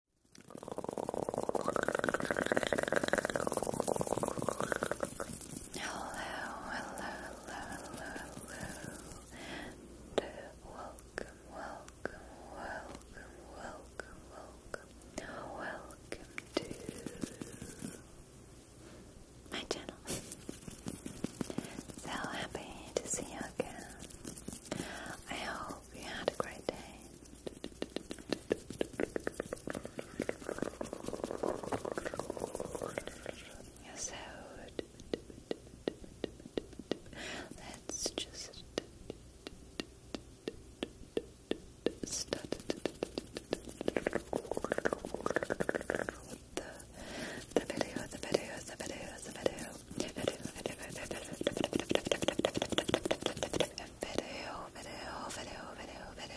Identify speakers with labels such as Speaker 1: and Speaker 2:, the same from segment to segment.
Speaker 1: hello, hello, hello. And welcome, welcome, welcome, welcome, welcome, welcome to my channel. so happy to see you again. I hope we had a great day. so. Let's just start the, the video, the video, the video, the video video, video, video, video,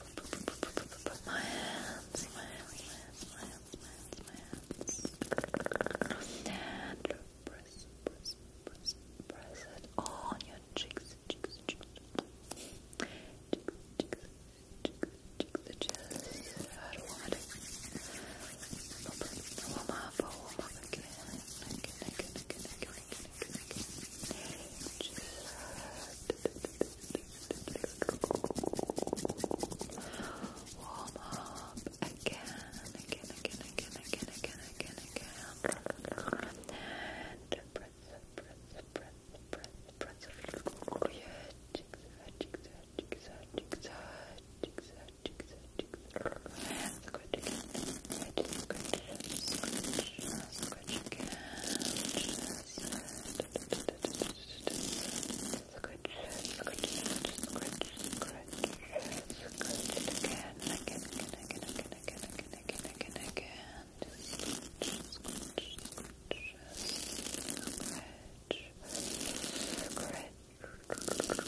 Speaker 1: my hands, my hands, my hands, my hands, my hands, my hands. And press, press, press, press it on your cheeks, cheeks, cheeks. Cheeks, cheeks, cheeks, cheeks, cheeks. Just Warm up again, again, again, again, again, again, again, again. And press, press, press, press, press. Yeah, jigsaw, jigsaw, jigsaw, jigsaw, jigsaw, jigsaw, jigsaw. Scratch again. Scratch, scratch, scratch, scratch again. Just Scratch, scratch, scratch, scratch, it again, again, again, again, again, again, again, again, again. Scratch, scratch, scratch, scratch, scratch.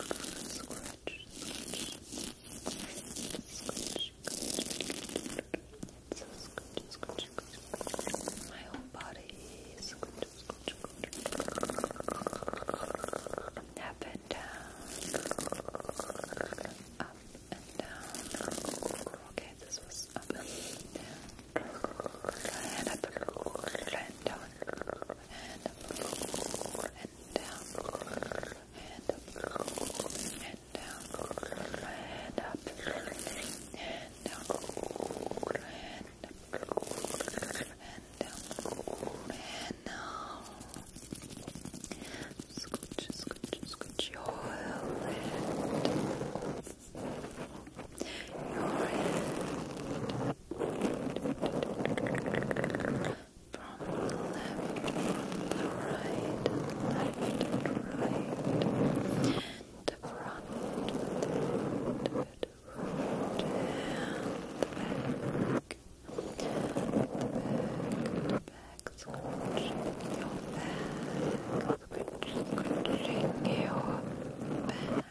Speaker 1: Scratch, scratch, scratch, so scrunch, My whole body. Scrunch, Up and down. Up and down. Okay, this was up and down. And up and down. And up and down. And up and down, and up, and down, and up, and down, and now scooch, your head. Your head. From the left, the right, left, right the front, the front, the front, the back. The back, the back, scratching your back, scratching your back.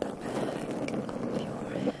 Speaker 1: The back of your head.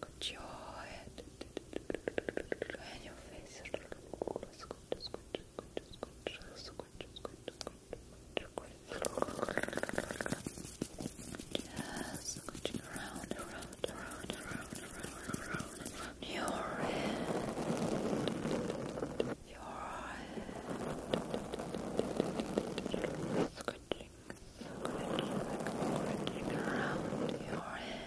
Speaker 1: Good your head and your face. Squid, squid, squid, squid, squid, squid, squid. Just squidging around, around, around, around, around, around, around your head. Your head. Squidging, squidging, squidging around your head.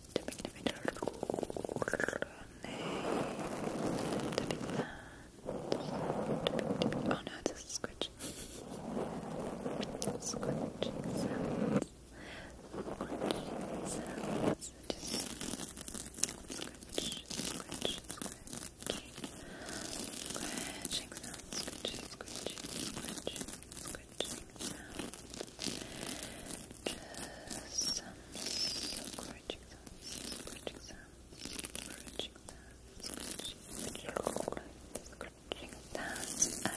Speaker 1: tapping individual name, tapping hands, tapping, tapping. Oh no, it's a scratch. Scratching sounds. Scratching sounds. Just scratch, scratch, scratch. Scratching sound, scratching, scratching, scratching, scratching sound just um, encouraging them, encouraging them, encouraging them, encouraging them, up and down, up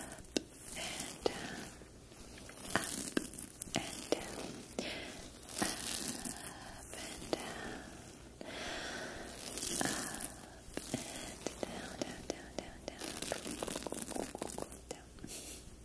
Speaker 1: and down, up and down, up and down, down, down, down, down. down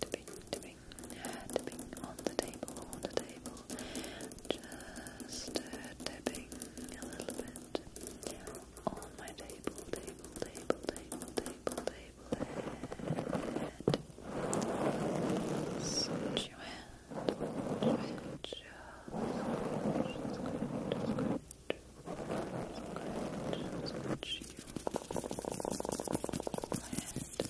Speaker 1: Tapping, tapping, tapping on the table, on the table. Just uh, tapping a little bit on my table, table, table, table, table, table. And switch your hand, switch your Scratch, scratch, scratch, scratch, scratch, scratch, scratch, scratch,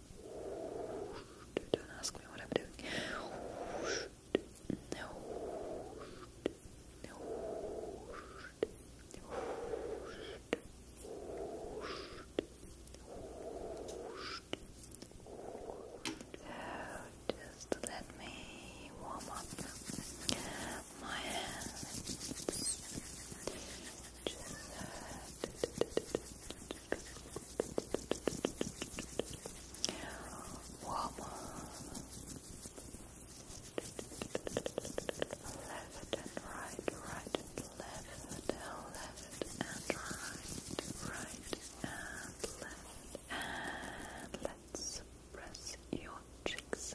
Speaker 1: Don't ask me what I'm doing. No. No. So just let me warm up my hands. Just, uh, Woman Left and right, right and left, left and right, right and left and let's press your cheeks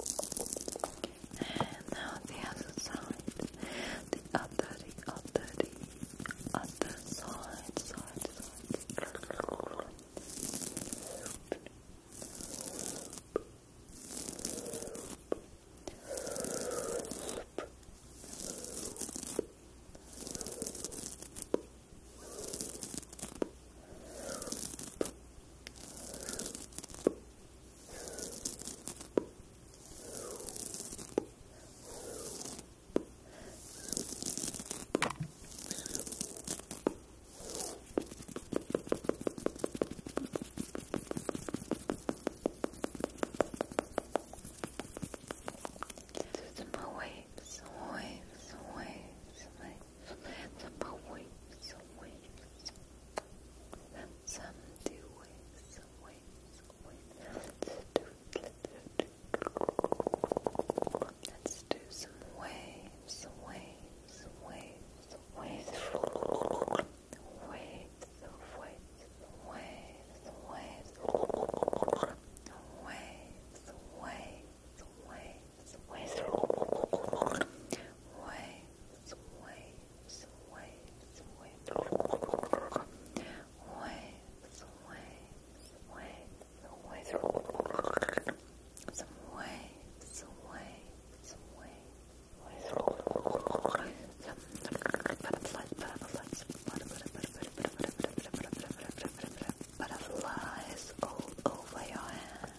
Speaker 1: And now the other side, the other, the other, the other side, side, side. Waves, waves, waves, like Philanthropa waves, waves. Some do waves, waves, waves. Let's do some waves, waves, waves, waves. Waves, waves, waves, waves. Waves, waves, waves, waves. Waves, waves, waves, waves, waves, waves, waves, waves, waves, some waves, waves, waves, waves. Butterflies, butterflies, butterflies all over your hand.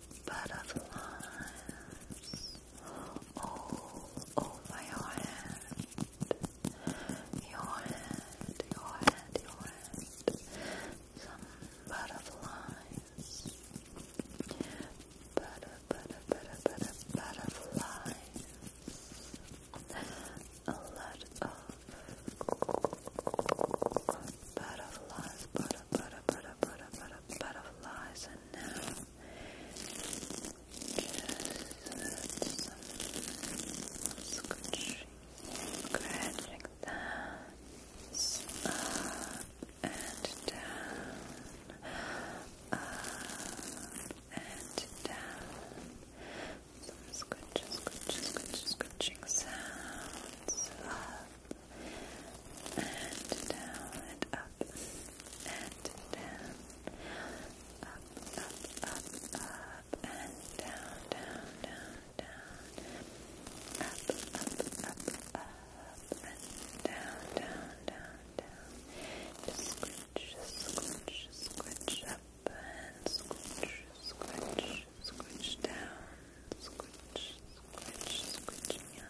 Speaker 1: butterflies all over your head. Your head, your head, your head. Some butterflies. Butter, butter, butter, butter, butterflies. A lot of butterflies, butterflies butter, butter, butter, butter, butterflies, and now just some scratching, that up and down, up and down. Some scratching, scratching, scratching, scratching sounds and down and up and down, up, up, up, up and down, down, down, down, up, up, up, up and down, down, down, down. Just scratch, scratch, up and scratch, scratch, scratch down, scratch, scratch, scratching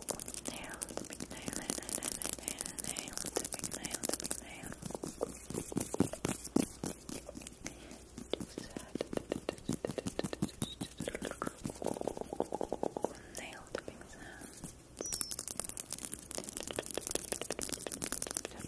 Speaker 1: nail, the big nail, nail, nail, nail, nail, nail, the big nail, the big nail. Nail tapping sounds. And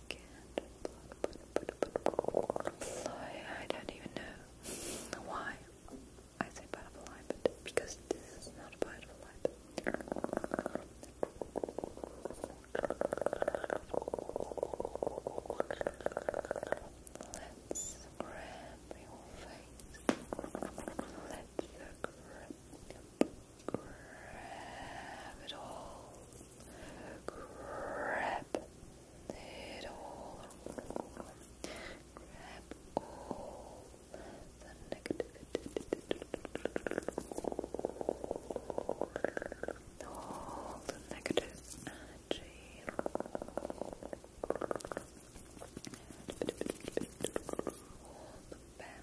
Speaker 1: I can't butterfly. I don't even know why I say butterfly, but because this is not a butterfly. But let's grab your face. Let's grab grab it all, grab it all, grab all the negative, all the negative energy. All the bad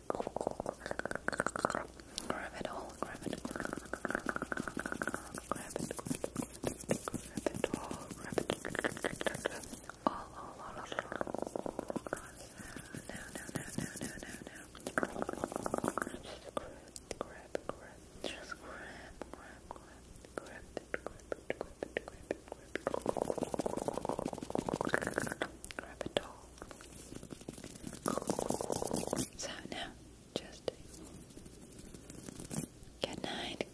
Speaker 1: Grab it all, grab it, grab it, grab it, grab it all, grab it all, all, all, all, all. No, no, no, no, no, no, no. Just grab, grab, grab, just grab, grab, grab, grab it, grab it, grab it, grab it, grab it, grab it all. So now, just good night.